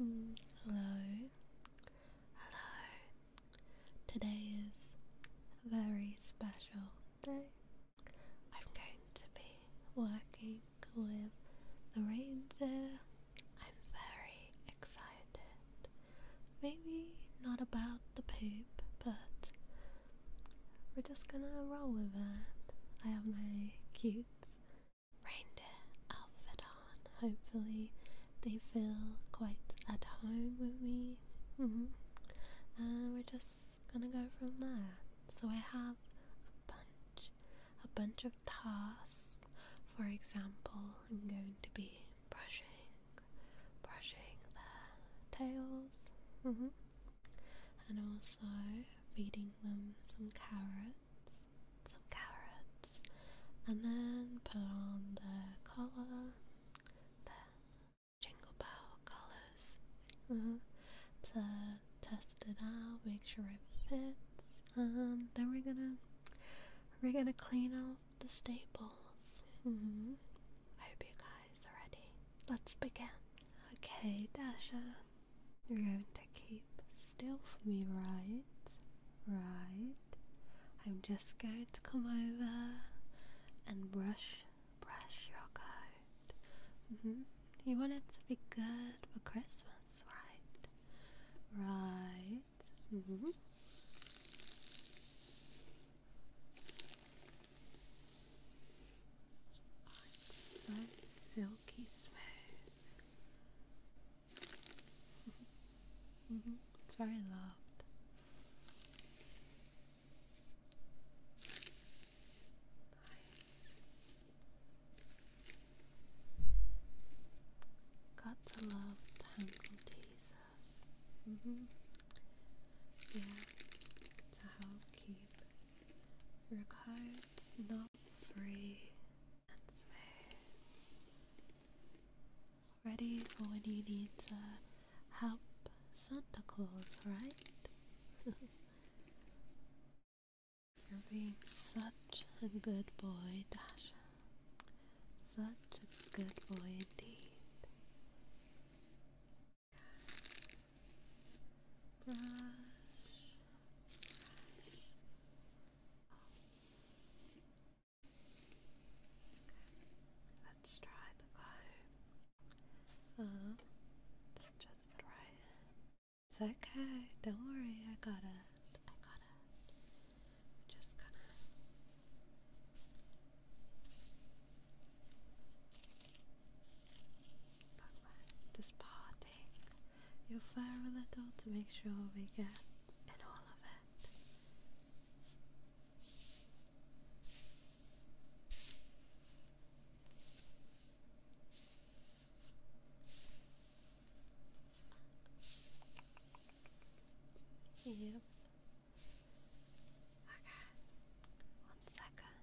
Mm, hello. Hello. Today is a very special day. I'm going to be working with the reindeer. I'm very excited. Maybe not about the poop, but we're just gonna roll with it. I have my cute reindeer outfit on. Hopefully, they feel quite at home with me. Mm-hmm. And we're just gonna go from there. So I have a bunch, a bunch of tasks. For example, I'm going to be brushing, brushing their tails. Mm-hmm and also feeding them some carrots, some carrots, and then put on the collar, their jingle bell collars uh-huh, to test it out, make sure it fits, and um, then we're gonna we're gonna clean up the staples. Mm-hmm. I hope you guys are ready. Let's begin. Okay, Dasha. You're going to keep still for me, right? Right. I'm just going to come over and brush, brush your coat. Mm-hmm. You want it to be good for Christmas, right? Right. Mm-hmm it's so silky smooth. It's very loved. Got to love tangled teasers. Mm-hmm. Yeah, to help keep required not free and smooth. Ready for when you need to help Santa Claus, right? You're being such a good boy, Dasha. Such a good boy indeed. Brush, Let's try the comb. Uh, it's just right. It's okay. Don't worry. I got it. I got it. just gonna. But right, this party, you'll fire a little to make sure we get in all of it. Yep. Okay. One second.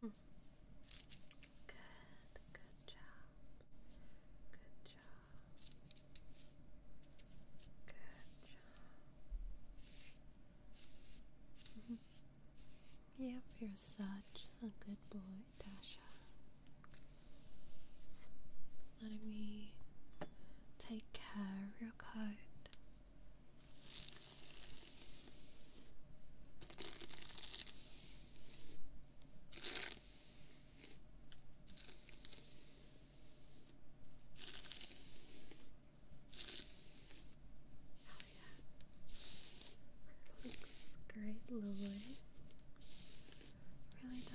Good, good job. Good job. Good job. Mm-hmm. yep, you're such a good boy, Tasha. Letting me take care of your coat yeah. Looks great, lovely. Really does.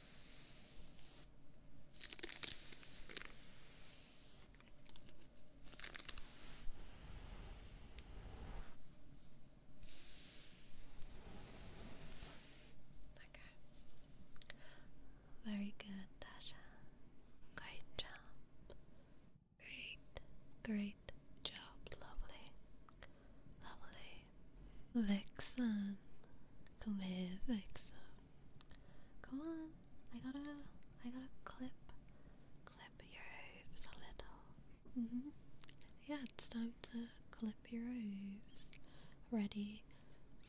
Okay. Very good, Dasha. Great job. Great, great job. Lovely. Lovely. Vixen. Come here, Vixen. Come on. I gotta I gotta clip clip your hooves a little. Mm-hmm. Yeah, it's time to clip your hooves. Ready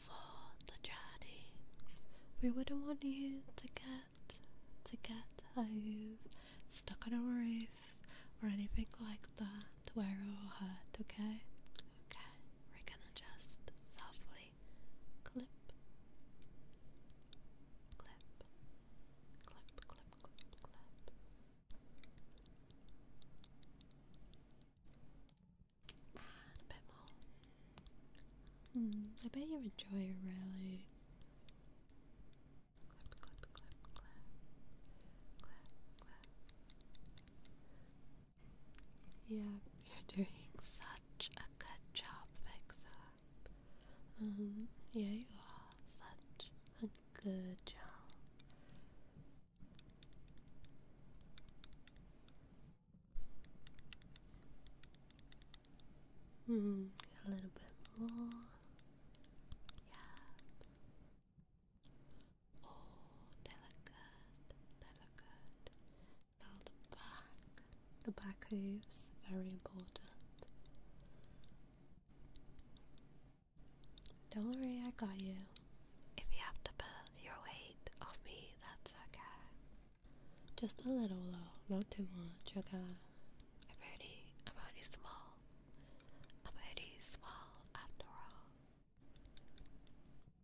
for the journey. We wouldn't want you to get to get a stuck on a roof or anything like that where it are hurt, okay? Okay we're gonna just softly clip, clip, clip, clip, clip, clip. And a bit more. Hmm, I bet you enjoy it really. Yeah, you're doing such a good job, Vixen. Um, yeah, you are such a good job. Hmm, a little bit more. Yeah. Oh, delicate, delicate. Now the back, the back hooves, very important. Don't worry, I got you. If you have to put your weight off me, that's okay. Just a little though, not too much, okay? I'm only, I'm only small. I'm only small after all.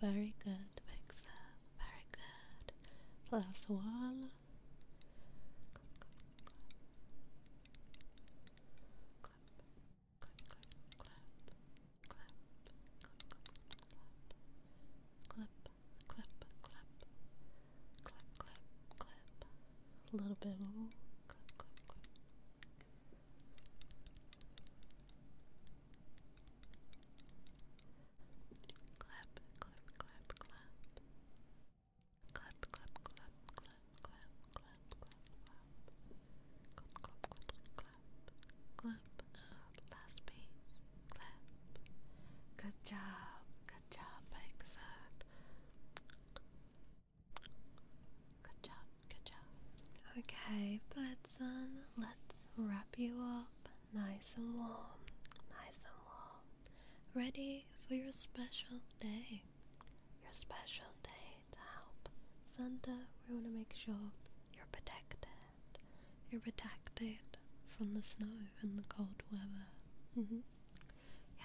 Very good, Mixer. Very good. Plus one. Clap, clap, clap. A little bit more. Clap, clap, clap. Clap, clap, clap, clap. Clap, clap, clap, clap, clap, clap, clap, clap. Clap, clap, clap, clap. Clap. Uh, last piece. Clap. Good job. Good Good job, Big Good job, good job. Okay, Blitzen, let's wrap you up nice and warm, nice and warm. Ready for your special day. Your special day to help. Santa, we want to make sure you're protected. You're protected from the snow in the cold weather. Mm-hmm. Yeah.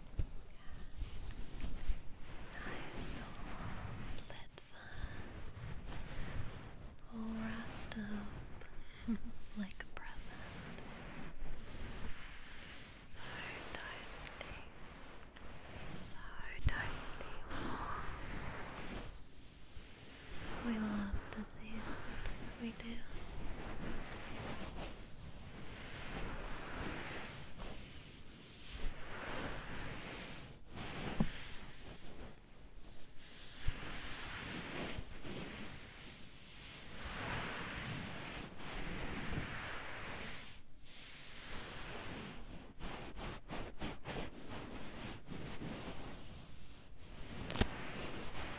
Nice. Let's uh, wrapped up like a present. So dusty. So We love the see we do.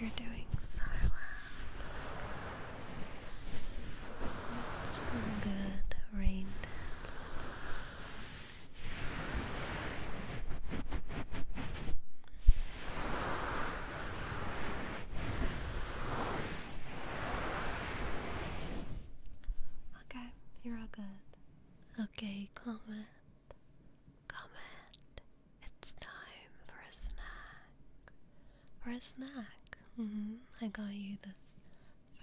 You're doing so well. good rain Okay, you're all good. Okay, comment. Comment. It's time for a snack. For a snack. Mm-hmm. I got you this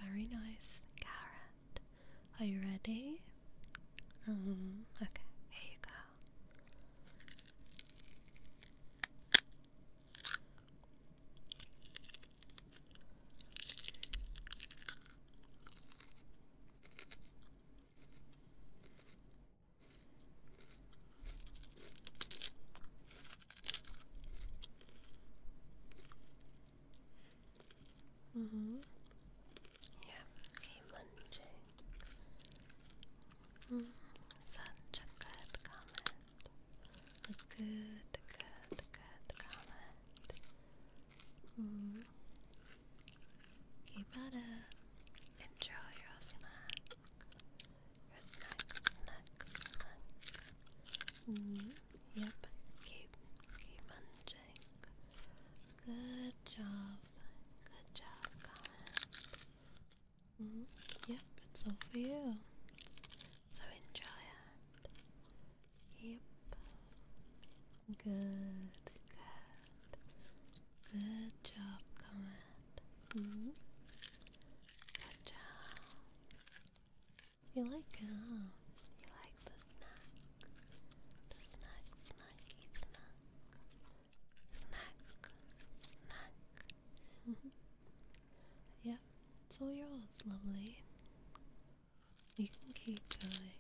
very nice carrot. Are you ready? Mm-hmm. Okay, here you go. Mm-hmm. Yeah, okay, munching. Mm, such a good comment. A good, good, good comment. Mm. Keep at Enjoy your snack neck, neck. Yep, keep, keep munching. Good job, good job, comment. Mm, yep, it's all for you. So enjoy it. Yep. Good, good. Good job, comment that. Mm -hmm. Good job. You like gum. Uh, you like the snack. The snack, snacky, snack. Snack, snack. Mm -hmm. Yep, yours, lovely. You can keep going.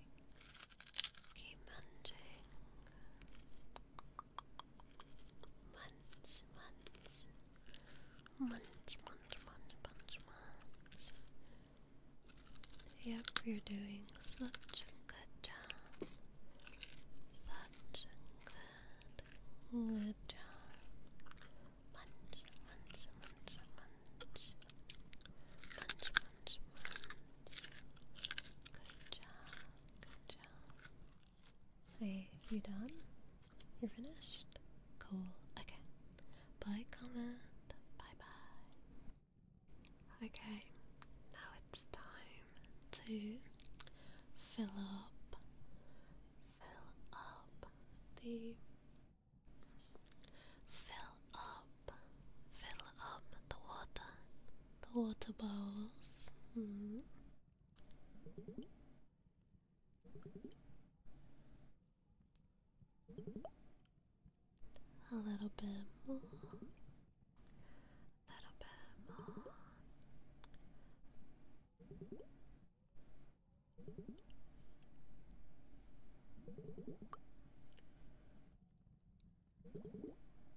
Keep munching. Munch, munch. Munch, munch, munch, munch, munch. Yep, you're doing such a good job. Such a good, good job. Munch, munch, munch, munch. Munch, munch, munch. Good job, good job. Wait, you done? You're finished? Cool. Okay. Bye, comment. Bye bye. Okay, now it's time to fill up, fill up the, fill up, fill up the water, the water bowls. Mm-hmm. A little bit more. A little bit more.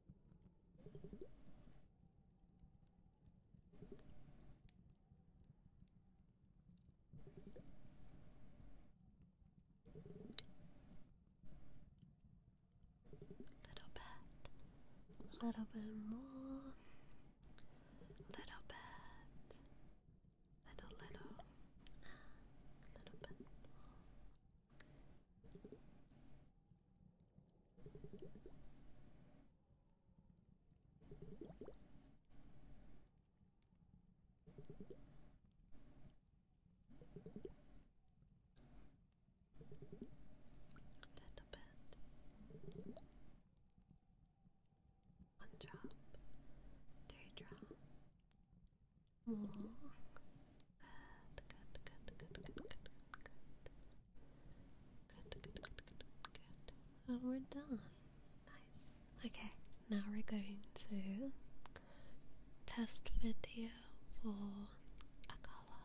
Little bit, little bit more, little bit, little little, little bit Little bit. One drop, two drop, long. Oh, good, good, good, good, good, good, good. Good, good, good, good, good. Well, we're done. Nice. Okay, now we're going to test video for Akala.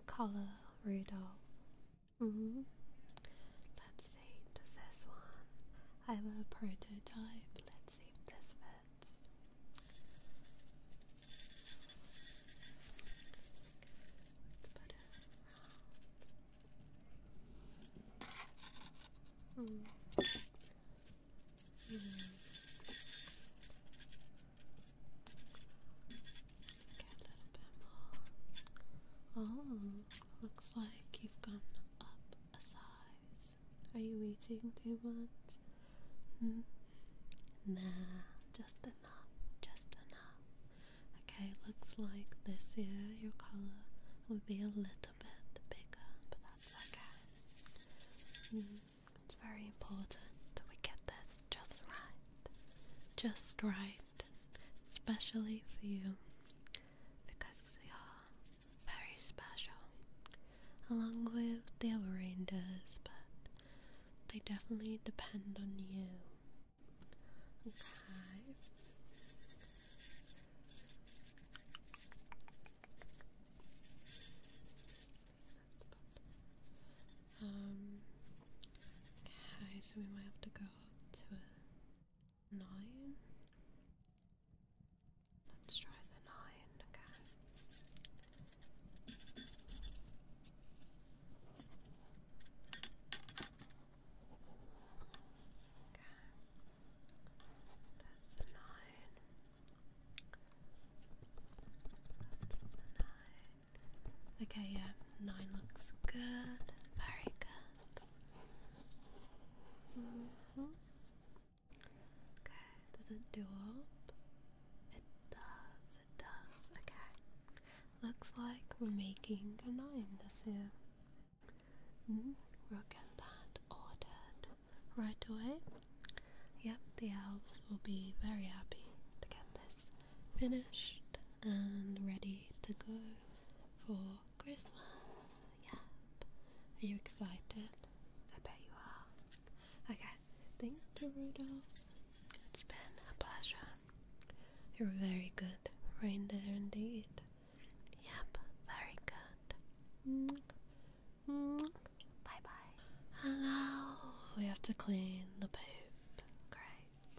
Akala Rudolph. Mm -hmm. Let's see, does this one? I have a prototype. Let's see this one. Hmm. Mm. Oh, looks like you've gone up a size. Are you eating too much? Mm. Nah, just enough, just enough. Okay, looks like this year your collar will be a little bit bigger, but that's okay. Mm, it's very important that we get this just right. Just right. Especially for you. Because you're very special along with the other reindeers, but they definitely depend on you. Okay. Um, okay, so we might have to go up to a nine. Let's try the nine, okay. Okay, yeah, nine looks good. Very good. Mm-hmm. Okay, does it do it? It does, it does. Okay. Looks like we're making a nine this year. We'll get that ordered right away. Yep, the elves will be very happy to get this finished and ready to go for Christmas. Yep. Are you excited? I bet you are. Okay, Thank you, Rudolph. It's been a pleasure. You're very good reindeer indeed. Yep, very good. Bye bye. And we have to clean the poop. Great.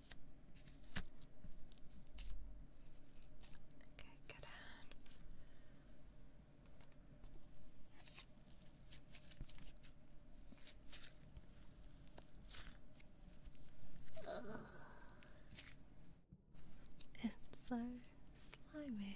Okay, get out. It's so slimy, slimy.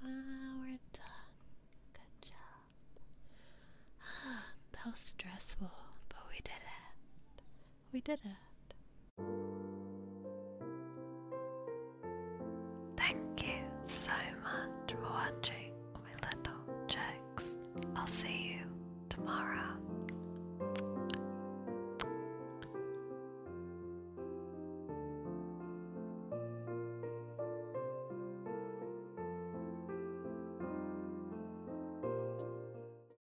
Ah, we're done. Good job. Ah, that was stressful, but we did it. We did it. Thank you so much for watching my little checks. I'll see you tomorrow.